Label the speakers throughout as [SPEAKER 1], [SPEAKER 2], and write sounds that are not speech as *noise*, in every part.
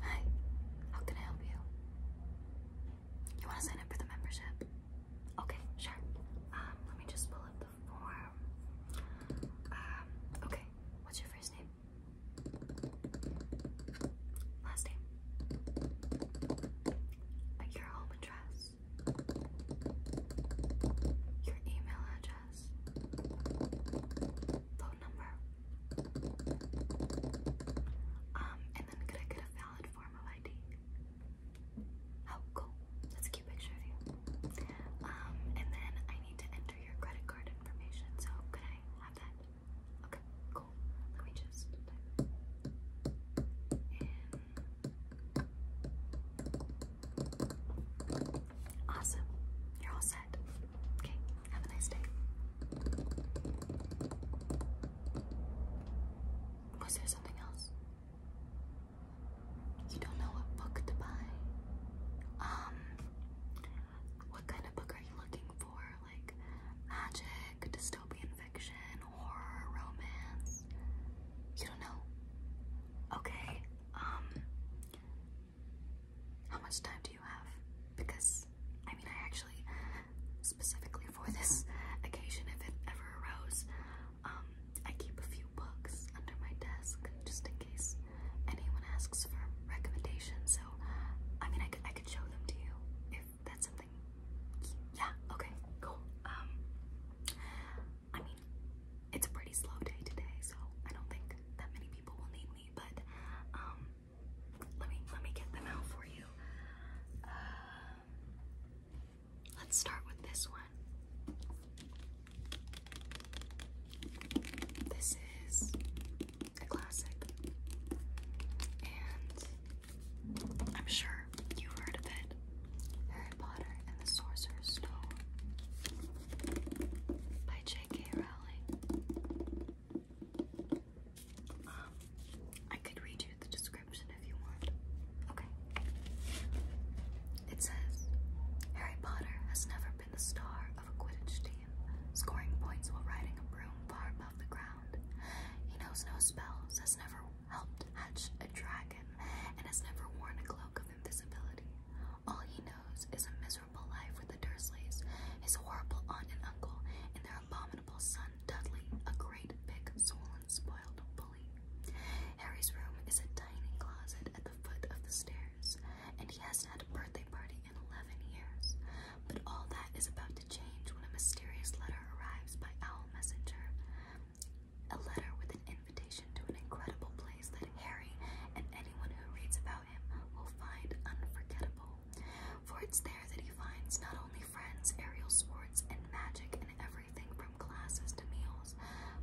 [SPEAKER 1] Hi, how can I help you? You want to sign up for the membership? Okay, sure. Um, let me just pull up the form. Um, okay, what's your first name? Last name? Your home address? your email address, phone number, um, and then could I get a valid form of ID? Oh, cool. That's a cute picture of you. Um, and then I need to enter your credit card information, so could I have that? Okay, cool. Let me just Awesome. You're all set. Okay, have a nice day. Was there something else? You don't know what book to buy? Um, what kind of book are you looking for? Like magic, dystopian fiction, horror, romance? You don't know? Okay, um, how much time do you have? Because, I mean, I actually, specifically for this *laughs* occasion, if it ever arose, um, I keep a few books under my desk just in case anyone asks for recommendations. So, I mean, I could, I could show them to you if that's something yeah, okay, cool. Um, I mean, it's a pretty slow day today, so I don't think that many people will need me, but um, let me let me get them out for you. Uh, let's start with this one. This is a classic, and I'm sure you heard of it. Harry Potter and the Sorcerer's Stone by J.K. Rowling. I could read you the description if you want. Okay. It says Harry Potter has never been the star of a Quidditch team, scoring points while riding a broom far above the ground. He knows no spells, has never helped hatch a dragon and has never worn a cloak of invisibility. All he knows is a miserable life with the Dursleys, his horrible aunt and uncle, and their abominable son Dudley, a great big swollen spoiled bully. Harry's room is a tiny closet at the foot of the stairs, and he hasn't had a birthday party in eleven years. But all that is about to change when a mysterious letter arrives by owl messenger a letter with an invitation to an incredible place that Harry and anyone who reads about him will find unforgettable. For it's there that he finds not only friends, aerial sports, and magic, and everything from classes to meals,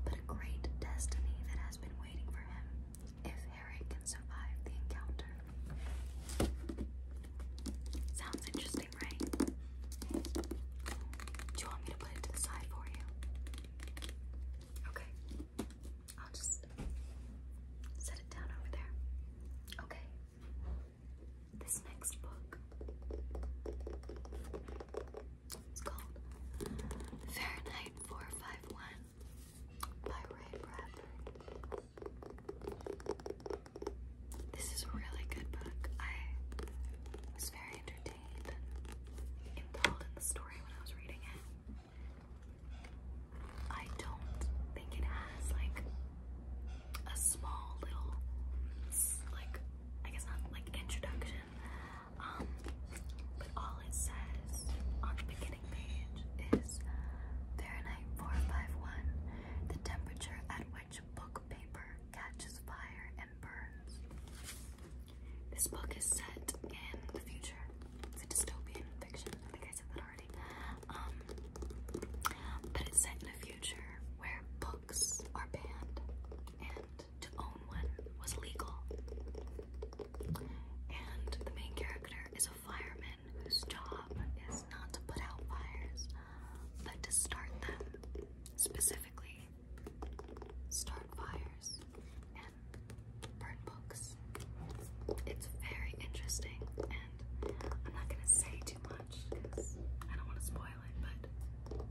[SPEAKER 1] but a great destiny that has been waiting for him if Harry can survive the encounter. Sounds interesting interesting, Do you want me to put it to the side for you? Okay. I'll just set it down over there. Okay. This next book is called Fahrenheit 451 by Ray Bradbury. This is a really good book. I was very entertained and in the story when I was reading it. I don't think it has like a small little like I guess not like introduction. Um but all it says on the beginning page is Fahrenheit 451, the temperature at which book paper catches fire and burns. This book is set in the future. It's a dystopian fiction. I think I said that already. Um, but it's set in a future where books are banned and to own one was legal. And the main character is a fireman whose job is not to put out fires, but to start them. Specifically, start fires and burn books. It's very interesting, and I'm not gonna say too much because I don't want to spoil it, but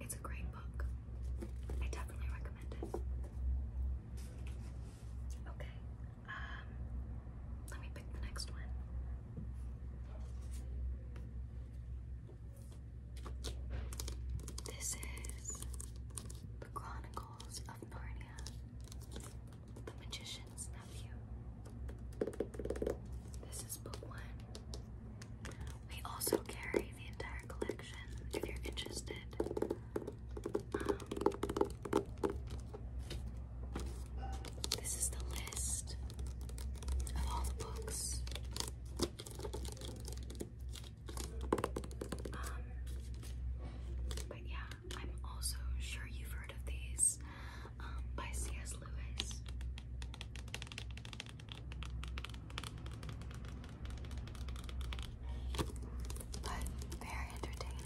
[SPEAKER 1] it's a great book. I definitely recommend it. Okay. Um, let me pick the next one. This is The Chronicles of Narnia, The Magician's Nephew. This is book one. We also carry the entire collection if you're interested this is the list of all the books. Um, but yeah, I'm also sure you've heard of these um, by C.S. Lewis. But they entertaining.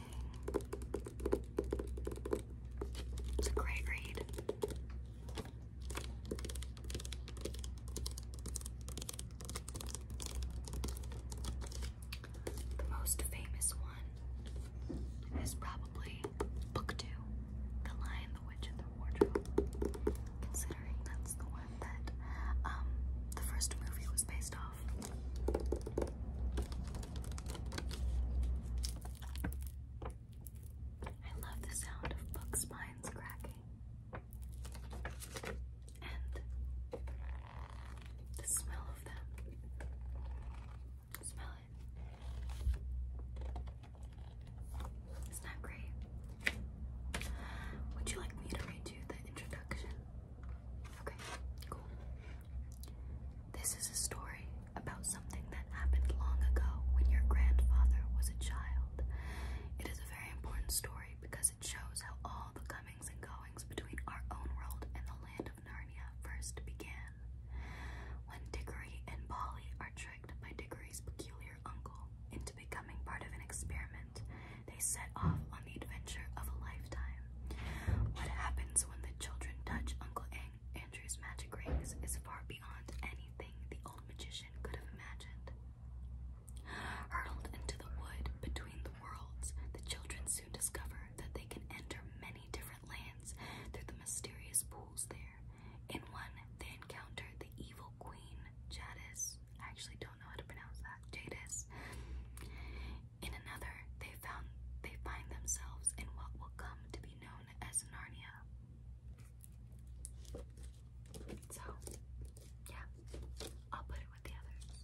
[SPEAKER 1] It's a great read. The most famous one is probably Book Two The Lion, the Witch, and the Wardrobe, considering that's the one that um, the first movie was based off. I love the sound of book spines cracking and the smell of them. Smell it. Isn't that great? Would you like me to read you the introduction? Okay, cool. This is a story about something that happened long ago when your grandfather was a child. It is a very important story because it shows how all the comings and goings between our own world and the land of Narnia first began. When Dickory and Polly are tricked by Dickory's peculiar uncle into becoming part of an experiment they set off on the adventure of a lifetime. What happens when the children touch Uncle Ang Andrew's magic rings is far beyond anything the old magician could have imagined. Hurtled into the wood between the worlds, the children soon discover that they can enter many different lands through the mysterious pools there. In one, they encounter the evil queen, Jadis, I actually don't know how to pronounce that. Jadis. In another, they found they find themselves in what will come to be known as Narnia. So, yeah, I'll put it with the others.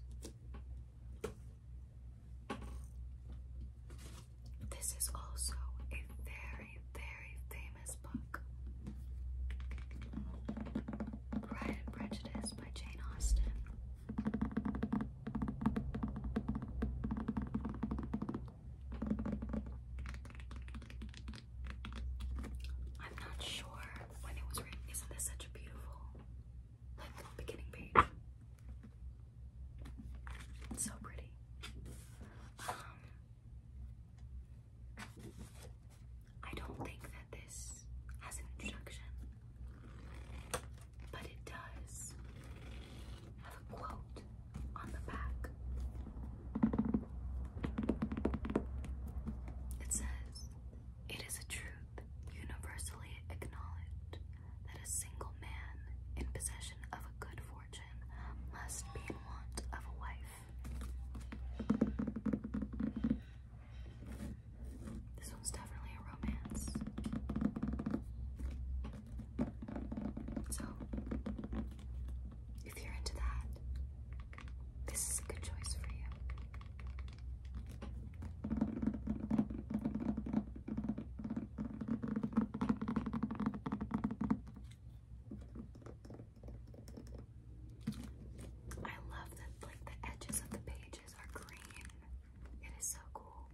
[SPEAKER 1] This is also a very, very famous book. Pride and Prejudice I'm not sure when it was written. Isn't this such a beautiful like beginning page? It's so pretty. Um, I don't think that this has an introduction, but it does have a quote on the back. It says, It is a truth universally acknowledged that a single man in possession of a good fortune must be in want of a wife. This one's definitely a romance. So, if you're into that, this is a good choice for you. I love that like the edges of the pages are green. It is so cool.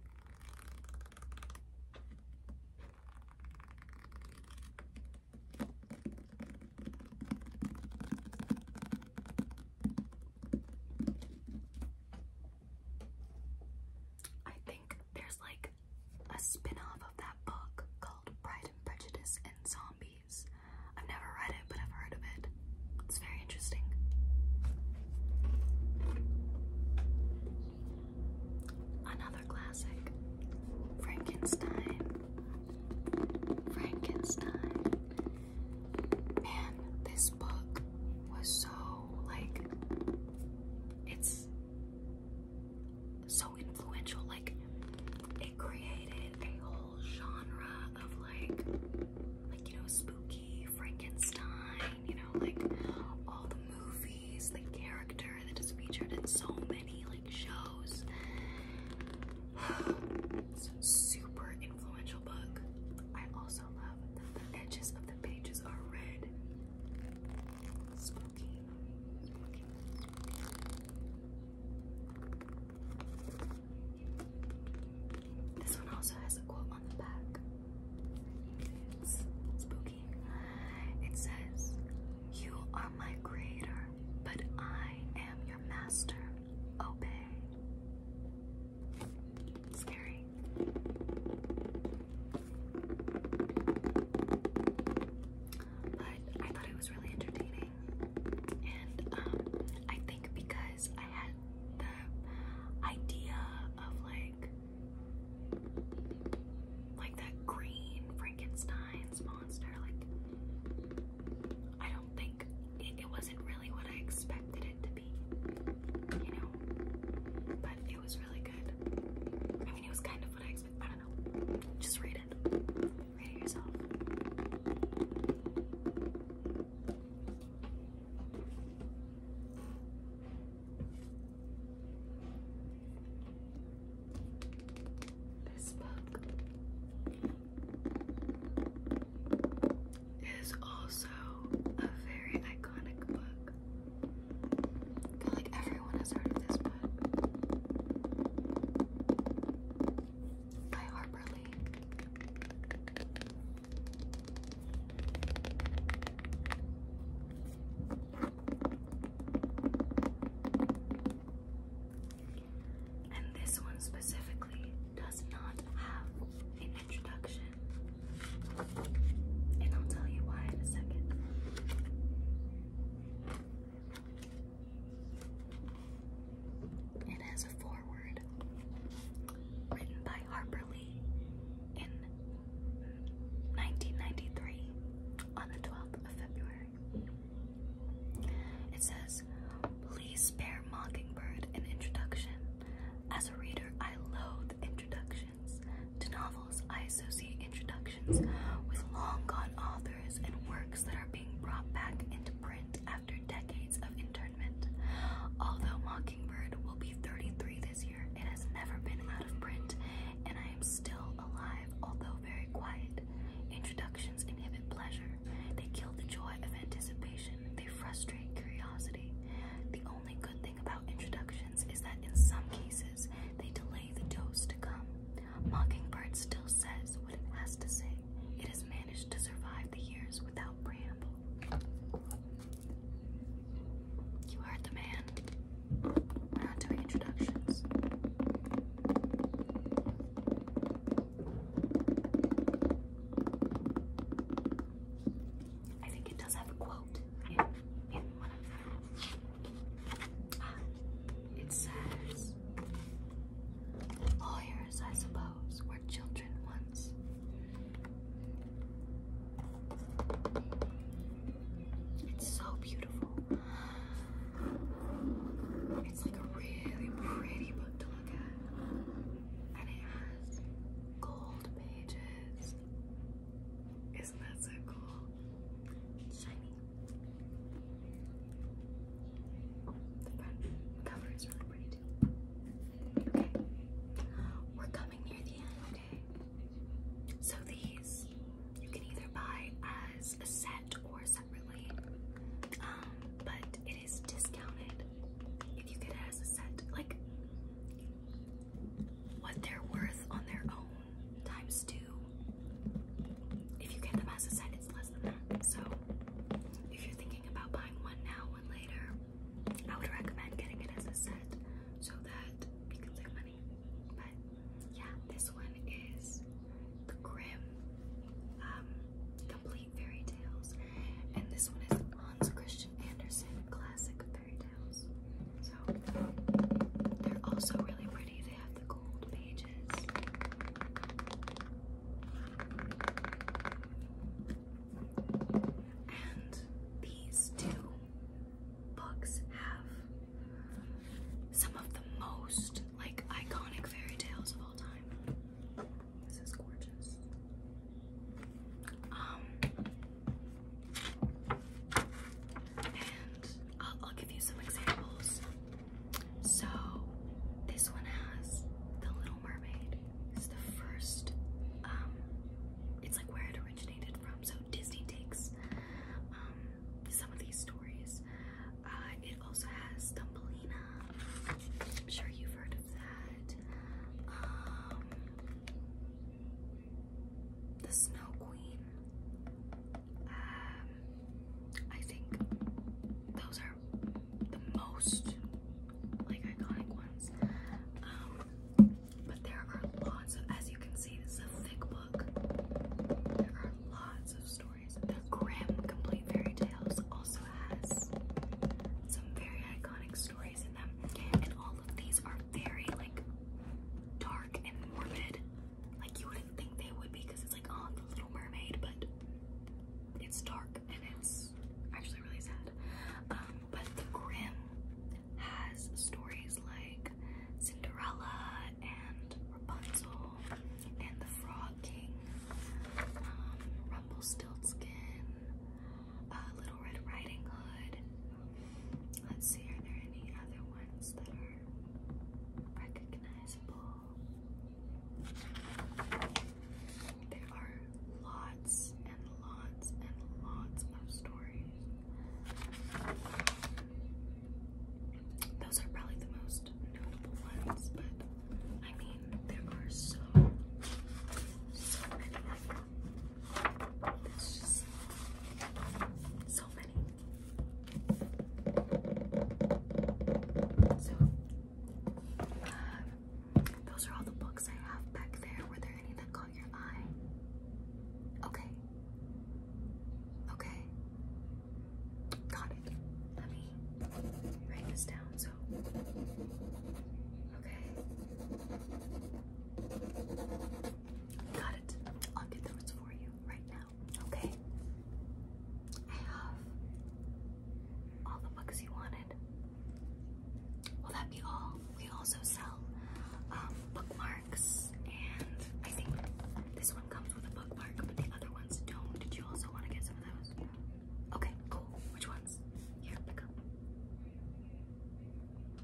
[SPEAKER 1] I think there's like a spin-off of that book called Pride and Prejudice and Zombies. I've never read it, but I've heard of it. It's very interesting. Another classic Frankenstein. Frankenstein. Man, this book was so, like, it's so influential. Like, created a whole genre of like, like you know, spooky Frankenstein. You know, like all the movies, the character that is featured in so many like shows. *sighs* super influential book. I also love that the edges of the pages are red. Spooky. This one also has a quote on the back. spooky. It says, You are my creator, but I am your master. Obey. Scary. But I thought it was really entertaining. And um, I think because I had the idea of like like that green Frankenstein's monster, like I don't think it, wasn't really what I expected it to be, you know. But it was really good. I mean, it was kind of what I expected. I don't know. Just read it. Rate This book is also a very iconic book. feel like everyone has heard of this book by Harper Lee. And this one specifically does not have an introduction. And I'll tell you why in a second. It has a foreword written by Harper Lee in 1993 on the 12th of February. It says, Please spare Mockingbird an introduction. As a reader, I loathe introductions to novels. I associate introductions with long gone authors and works that are being brought back into print after decades of internment. Although Mockingbird will be 33 this year, it has never been out of print, and I am still alive, although very quiet. Introductions inhibit pleasure, they kill the joy of anticipation, they frustrate curiosity. The only good thing about introductions is that in some cases they delay the dose to come. Mockingbird still says what it has to say. It has managed to survive the years without preamble. You heard the man. not doing introductions. I think it does have a quote in, in one of it says, lawyers, I suppose, were children once. It's so beautiful. It's like a really pretty book to look at. And it has gold pages. Isn't that so cool? shiny. We're coming near the end, So these you can either buy as a set or separately. Um, but it is discounted if you get it as a set. Like what they're worth on their own times two. If you get them as a set, it's less than that. So if you're thinking about buying one now, one later, I would recommend getting it as a set so that you can save money. But yeah, this one is the Grim um, Complete Fairy Tales, and this one is Hans Christian Andersen Classic Fairy Tales. So they're also really pretty. They have the gold pages. And these two books have some of the most like iconic fairy tales of all time. This is gorgeous. Um, and I'll, give you some examples. So, this one has The Little Mermaid. It's the first, um, it's like where it originated from. So, Disney takes um, some of these stories. Uh, it also has Thumbelina. I'm sure you've heard of that. Um, the Snow Queen. Um, I think those are the most like iconic ones. Um, but there are lots as you can see, this is a thick book. There are lots of stories. The Grimm Complete Fairy Tales also has some very iconic stories in them, all these are very like dark and morbid. Like you wouldn't think they would be because it's like on oh, the Little Mermaid, but it's dark and it's actually really sad. Um, but the Grimm has stories like Cinderella and Rapunzel and the Frog King, um, Rumpelstiltskin, Little Red Riding Hood. Let's see, are there any other ones that are recognizable? There are lots and lots and lots of stories. Those are probably the most notable ones, but I mean, there are so, so many. It's just so many. So, uh, those are all the books I have back there. Were there any that caught your eye? Okay. Okay. Got it. Let me write this down. So, okay. Got it. I'll get those for you right now. Okay. I have all the books you wanted. Will that be all? We also sell um, bookmarks, and I think this one comes with a bookmark, but the other ones don't. Did you also want to get some of those? Okay, cool. Which ones? Here, pick up.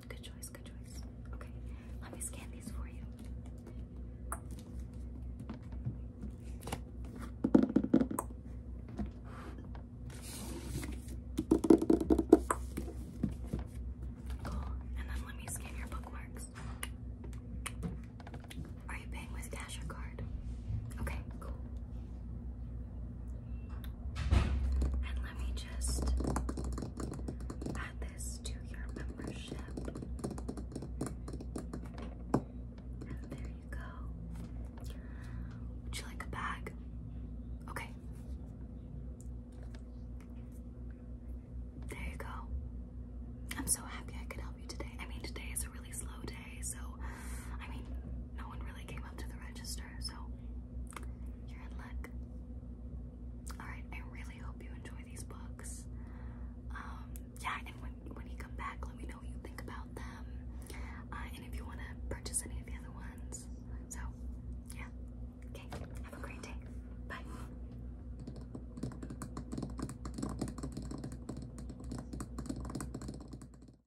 [SPEAKER 1] Good choice, good choice. Okay, let me scan these for you. Cool, and then let me scan your bookmarks. Are you paying with cash or card? Okay, cool. And let me just add this to your membership. there you go. Would you like a bag? Okay. There you go. I'm so happy I could help you today. I mean, today is a really slow day, so I mean, no one really came up to the register so you're in luck. Alright, I really hope you enjoy these books. Um, yeah, and when, you come back, let me know what you think about them. Uh, and if you want to purchase any of the other ones. So, yeah. Okay, have a great day. Bye.